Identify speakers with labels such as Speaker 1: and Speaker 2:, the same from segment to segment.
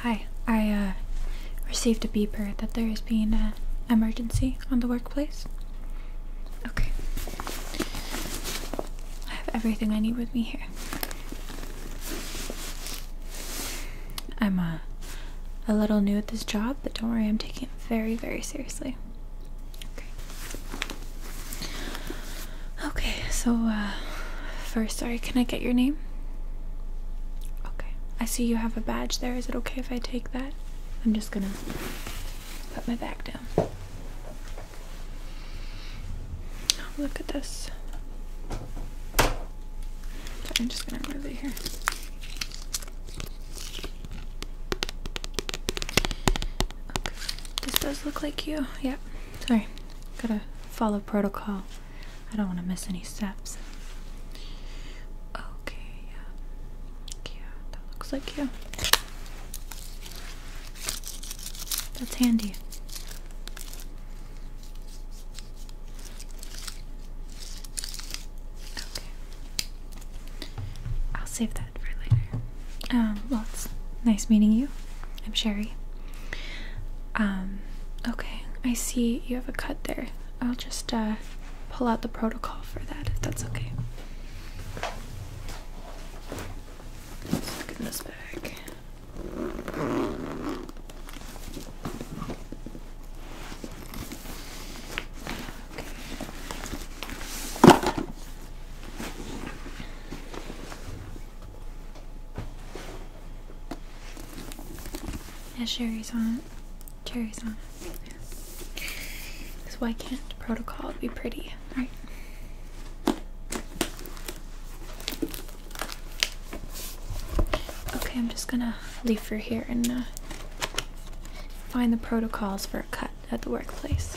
Speaker 1: Hi, I uh, received a beeper that there is being an emergency on the workplace. Okay. I have everything I need with me here. I'm uh, a little new at this job, but don't worry, I'm taking it very, very seriously. Okay, so uh, first, sorry, can I get your name? Okay, I see you have a badge there. Is it okay if I take that? I'm just gonna put my back down. Oh, look at this. I'm just gonna move it here. Okay. This does look like you. Yep. Sorry. Gotta follow protocol. I don't want to miss any steps. Okay, yeah. that looks like you. That's handy. Okay. I'll save that for later. Um, well, it's nice meeting you. I'm Sherry. Um, okay, I see you have a cut there. I'll just uh, pull out the protocol for that if that's okay. Let's get this back. Okay. It has cherries on it. Cherries on it. Yeah. Because why can't protocol be pretty, right? Okay, I'm just gonna leave for here and uh, find the protocols for a cut at the workplace.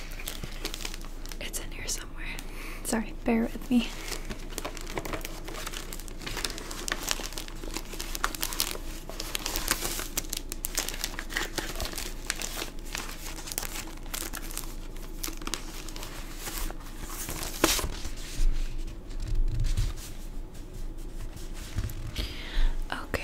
Speaker 1: It's in here somewhere. Sorry, bear with me. Okay.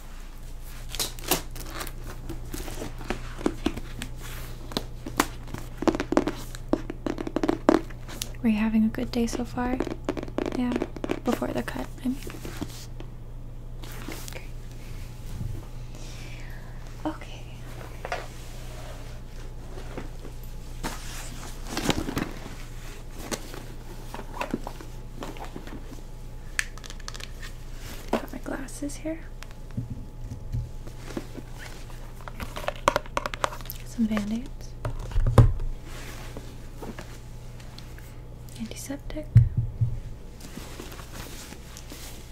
Speaker 1: Were you having a good day so far? Yeah, before the cut, Okay. okay. Got my glasses here. Some band-aids. Antiseptic.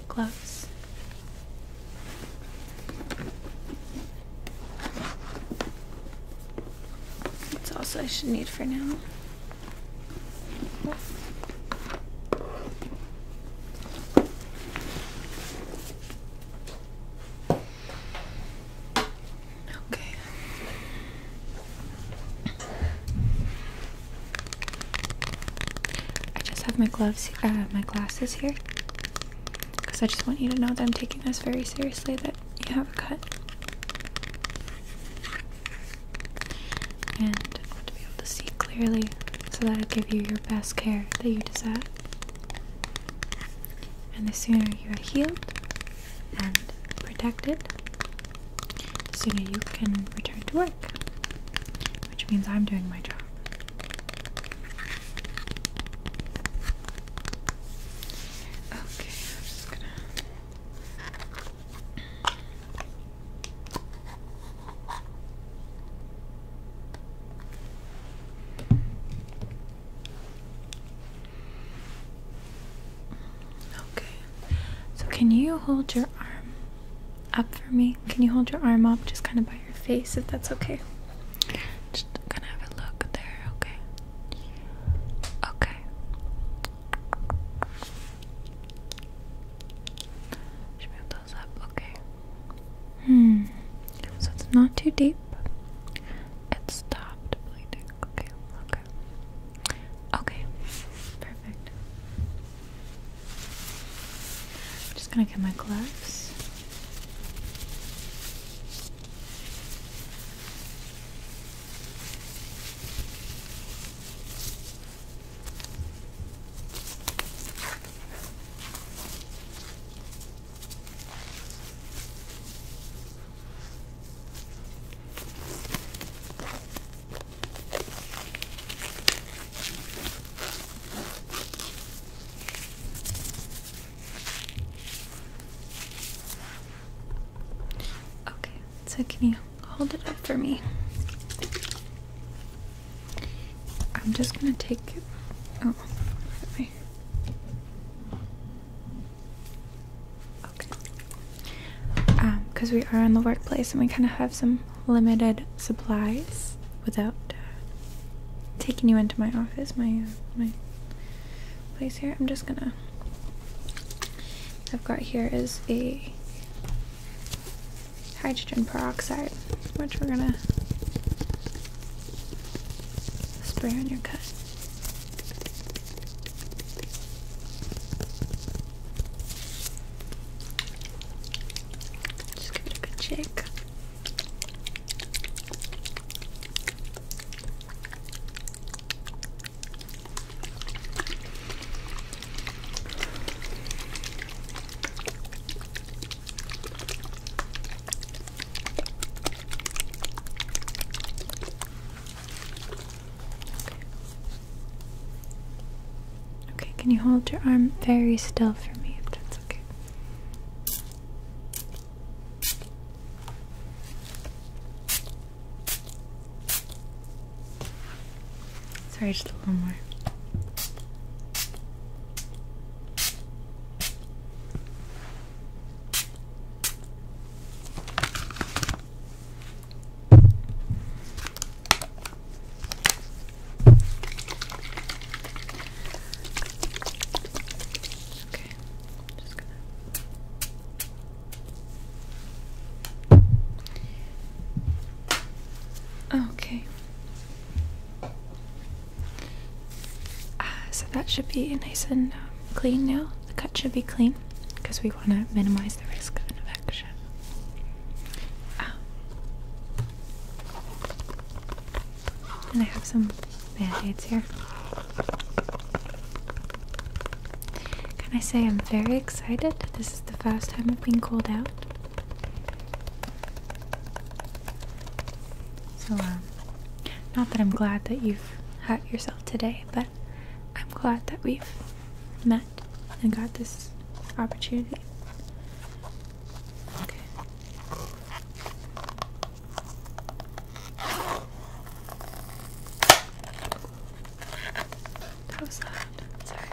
Speaker 1: Gloves. That's also I should need for now. Okay. I just have my gloves, uh, my glasses here, because I just want you to know that I'm taking this very seriously. That you have a cut and I want to be able to see clearly so that I give you your best care that you deserve. And the sooner you are healed and protected, the sooner you can return to work, which means I'm doing my job. Okay, I'm just gonna. Okay. So can you hold your arm up for me? Can you hold your arm up just kind of by your face if that's okay? Just gonna a look there, okay? Okay. Should move those up. Okay. Hmm. So it's not too deep. It stopped bleeding. Okay. Okay. Okay. Perfect. I'm just gonna get my gloves. Okay, so can you Hold it up for me. I'm just gonna take it. Oh, okay. Um, because we are in the workplace and we kind of have some limited supplies without uh, taking you into my office, my uh, my place here. I'm just gonna. I've got here is a hydrogen peroxide, which we're gonna spray on your cut. Just give it a good shake. Okay, can you hold your arm very still for me if that's okay? Sorry, just a little more. Okay, just gonna Okay. Uh, so that should be nice and uh, clean now. The cut should be clean because we want to minimize the risk of infection. Um, and I have some band aids here. Can I say I'm very excited? This is the first time I've been called out. So, um, not that I'm glad that you've hurt yourself today, but I'm glad that we've met and got this opportunity. Okay. That was that. Sorry.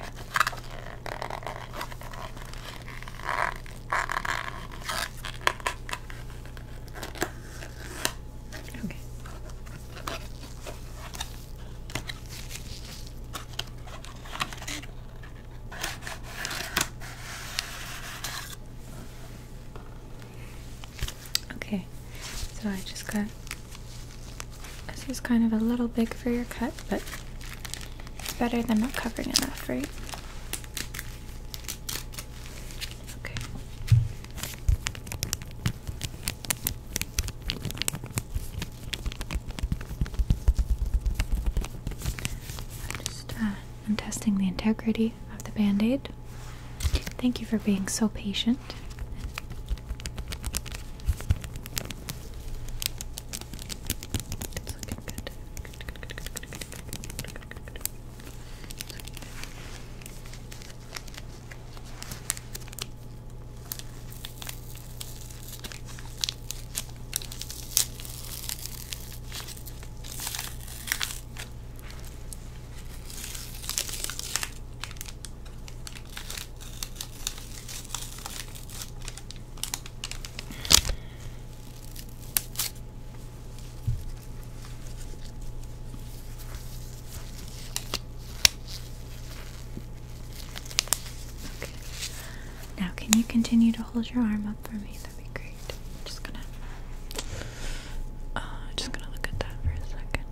Speaker 1: Okay. Okay, so I just got this is kind of a little big for your cut, but it's better than not covering enough, right? Okay. I'm just uh, I'm testing the integrity of the band-aid. Thank you for being so patient. It's looking good. Good, good, good, good, good, good, good, good, good. It's looking good. Okay. Okay. Now, can you continue to hold your arm up for me? That'd be great. just gonna, uh, just gonna look at that for a second.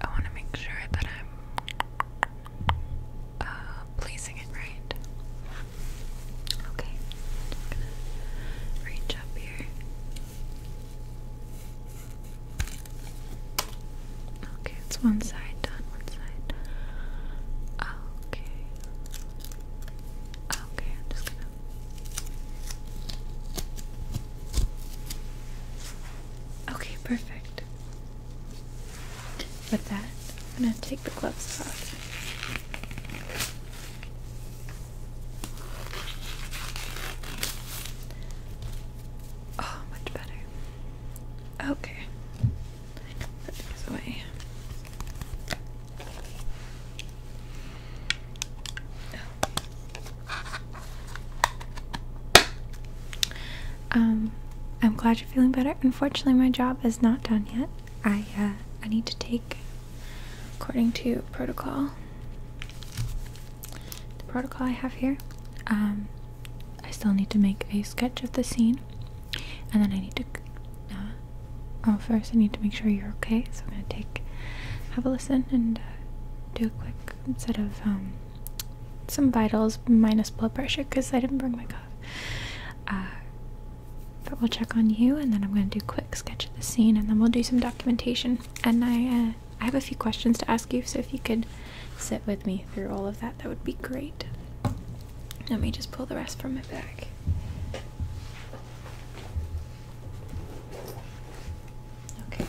Speaker 1: I want to make sure that I'm uh, placing it right. Okay, reach up here. Okay, it's one side done, one side. Okay. Okay, I'm just gonna. Okay, perfect. With that, I'm going to take the gloves off. Oh, much better. Okay. Put these away. Um, I'm glad you're feeling better. Unfortunately, my job is not done yet. I uh, I need to take, according to protocol, the protocol I have here. Um, I still need to make a sketch of the scene, and then I need to. Uh, oh, first I need to make sure you're okay. So I'm gonna take, have a listen, and uh, do a quick set of um, some vitals minus blood pressure because I didn't bring my cuff. Uh, but we'll check on you, and then I'm going to do a quick sketch of the scene, and then we'll do some documentation. And I, uh, I have a few questions to ask you, so if you could sit with me through all of that, that would be great. Let me just pull the rest from my bag. Okay.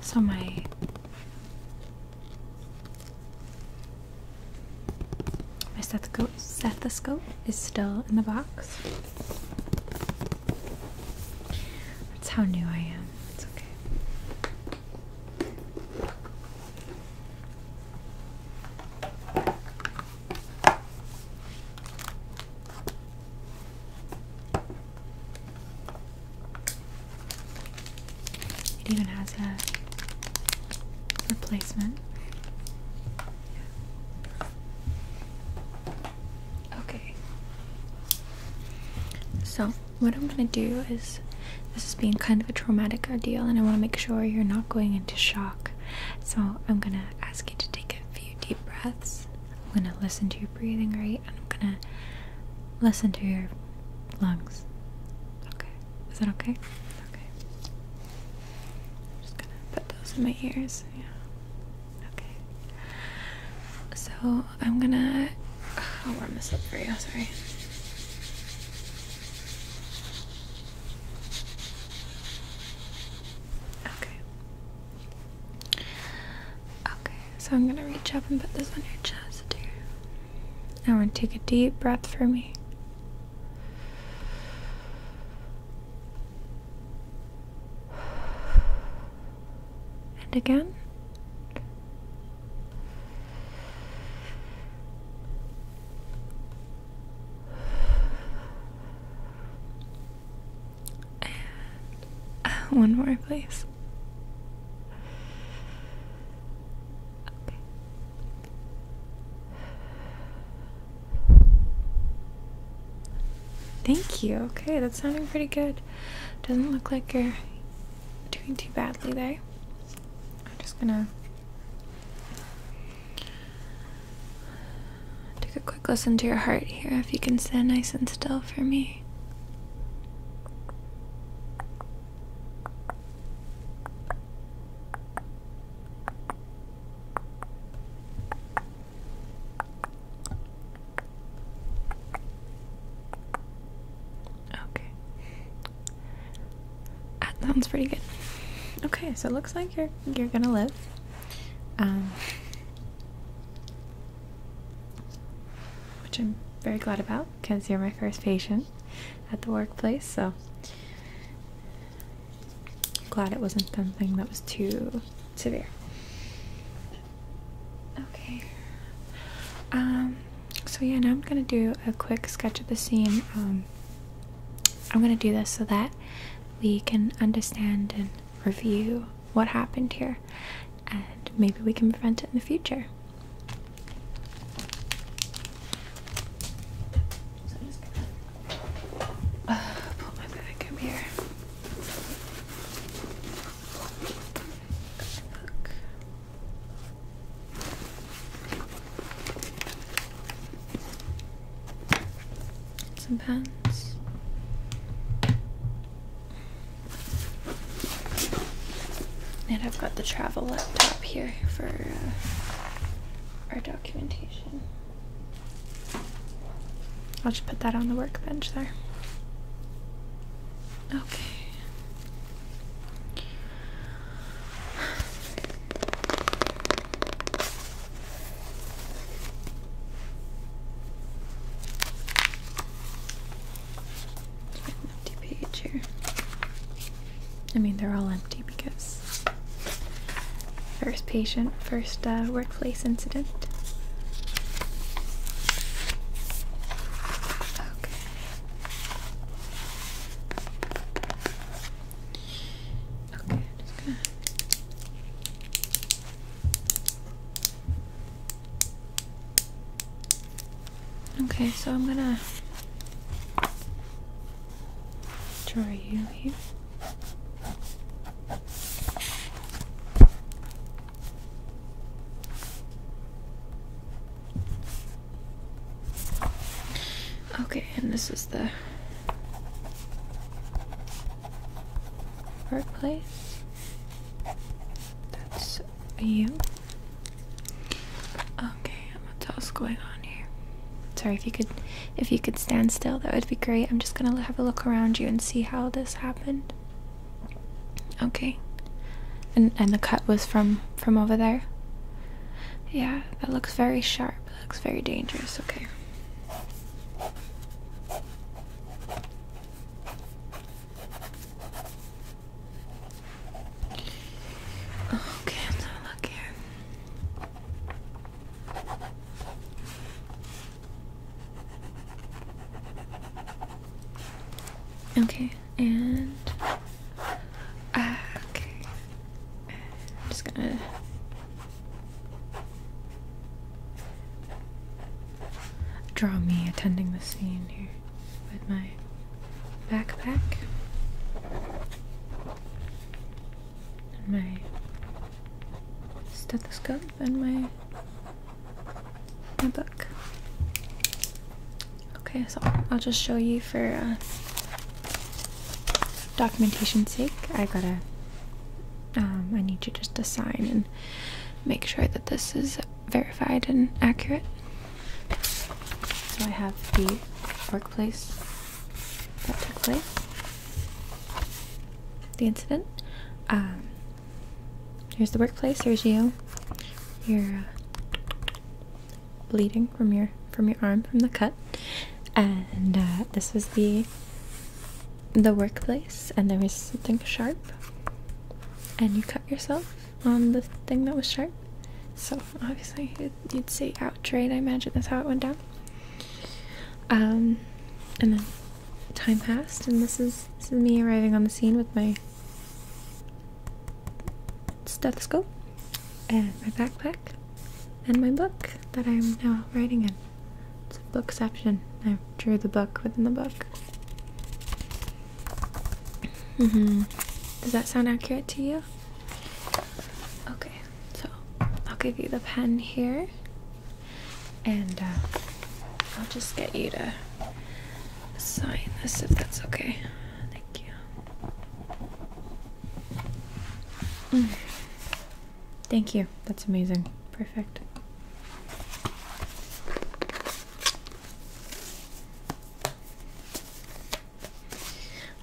Speaker 1: So my my stethoscope, stethoscope is still in the box. That's how new I am. It's okay. It even has a replacement. Okay. So, what I'm gonna do is this is being kind of a traumatic ordeal, and I wanna make sure you're not going into shock. So, I'm gonna ask you to take a few deep breaths. I'm gonna listen to your breathing right I'm gonna listen to your lungs. Okay. Is that okay? Okay. I'm just gonna put those in my ears. Yeah. Okay. So I'm gonna I'll warm this up for you, sorry. Okay. Okay, so I'm gonna reach up and put this on your chest here. I want to take a deep breath for me. And again. One more, please. Thank you. Okay, that's sounding pretty good. Doesn't look like you're doing too badly there. I'm just gonna take a quick listen to your heart here. If you can stand nice and still for me. Okay. That sounds pretty good. Okay, so it looks like you're you're gonna live. Um which I'm very glad about because you're my first patient at the workplace, so glad it wasn't something that was too severe. Okay. Um, so yeah, now I'm gonna do a quick sketch of the scene. Um, I'm gonna do this so that we can understand and review what happened here and maybe we can prevent it in the future. So my bag up here. Some pants. And I've got the travel laptop here for uh, our documentation. I'll just put that on the workbench there. Okay an empty page here. I mean, they're all empty because first patient, first uh, workplace incident. Okay. Okay, just gonna Okay, so I'm gonna draw you here. Okay, and this is the workplace. That's you. Okay, what else going on here? Sorry if you could if you could stand still, that would be great. I'm just gonna have a look around you and see how this happened. Okay. And and the cut was from from over there? Yeah, that looks very sharp. That looks very dangerous. Okay. Okay, let's look here. Okay, and uh, okay. I'm just gonna draw me attending the scene here with my backpack and my stethoscope and my, my book. Okay, so I'll just show you for uh, documentation's sake. I gotta, um, I need you just to sign and make sure that this is verified and accurate. So I have the workplace that took place, the incident. Um, here's the workplace. Here's you. You're uh, bleeding from your from your arm from the cut, and uh, this was the the workplace. And there was something sharp, and you cut yourself on the thing that was sharp. So obviously you'd say out right? I imagine that's how it went down. Um, and then time passed, and this is this is me arriving on the scene with my stethoscope and my backpack and my book that I'm now writing in. It's a bookception. I drew the book within the book hmm Does that sound accurate to you? Okay, so I'll give you the pen here, and uh, I'll just get you to sign this if that's okay. Thank you. Mm. Thank you. That's amazing. Perfect.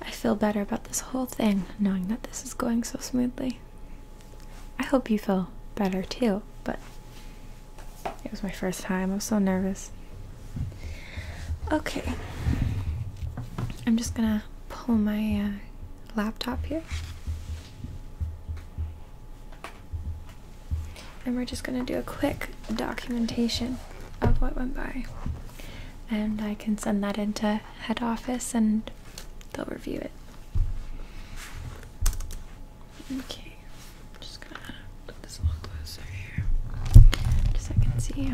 Speaker 1: I feel better about this whole thing knowing that this is going so smoothly. I hope you feel better too, but it was my first time. i was so nervous. Okay. I'm just gonna pull my uh, laptop here. And we're just going to do a quick documentation of what went by. And I can send that into head office and they'll review it. Okay, just gonna put this closer here just so I can see.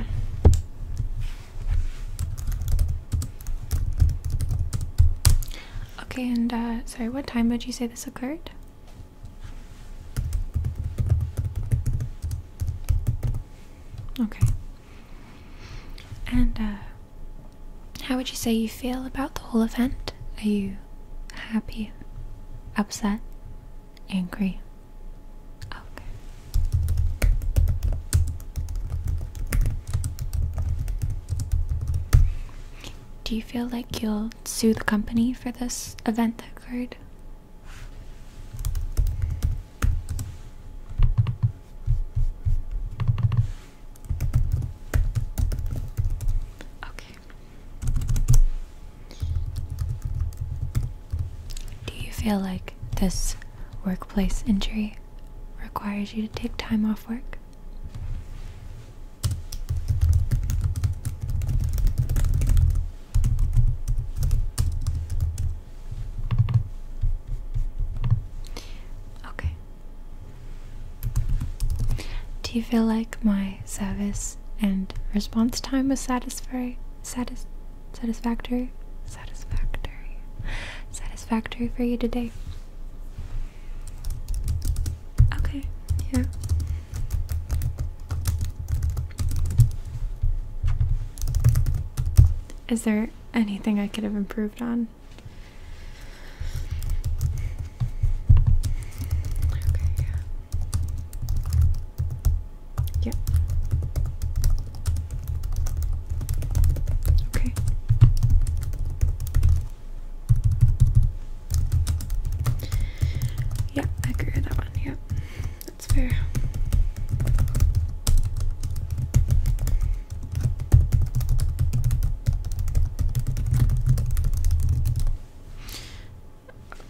Speaker 1: Okay, and uh, sorry, what time would you say this occurred? Okay. And uh, how would you say you feel about the whole event? Are you happy, upset, angry? Okay. Do you feel like you will sue the company for this event that occurred. Okay. Do you feel like this workplace injury requires you to take time off work? Okay. Do you feel like my service and response time was satisfactory? satisfactory? Satisfactory. Satisfactory for you today? Okay, yeah. Is there anything I could have improved on? Okay, yeah. Okay. Yeah, I agree with that one. Yeah, that's fair.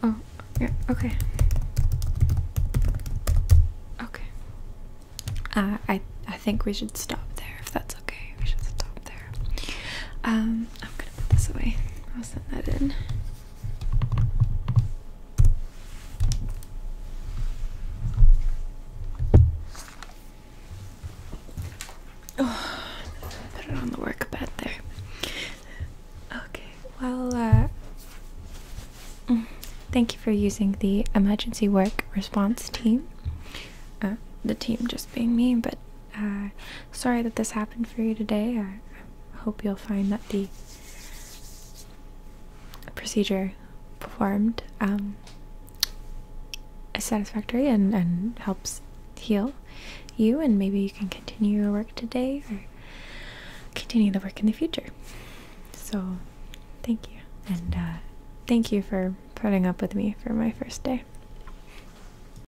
Speaker 1: Oh, yeah, okay. Okay. Uh, I I think we should stop there if that's okay. We should stop there. Um I'm gonna put this away. I'll send that in. Oh, put it on the work bed there. Okay, well, uh, mm, thank you for using the emergency work response team. Uh, the team just being me, but uh, sorry that this happened for you today. I, hope you'll find that the procedure performed um, is satisfactory and, and helps heal you, and maybe you can continue your work today or continue the work in the future. So, thank you, and uh, thank you for putting up with me for my first day.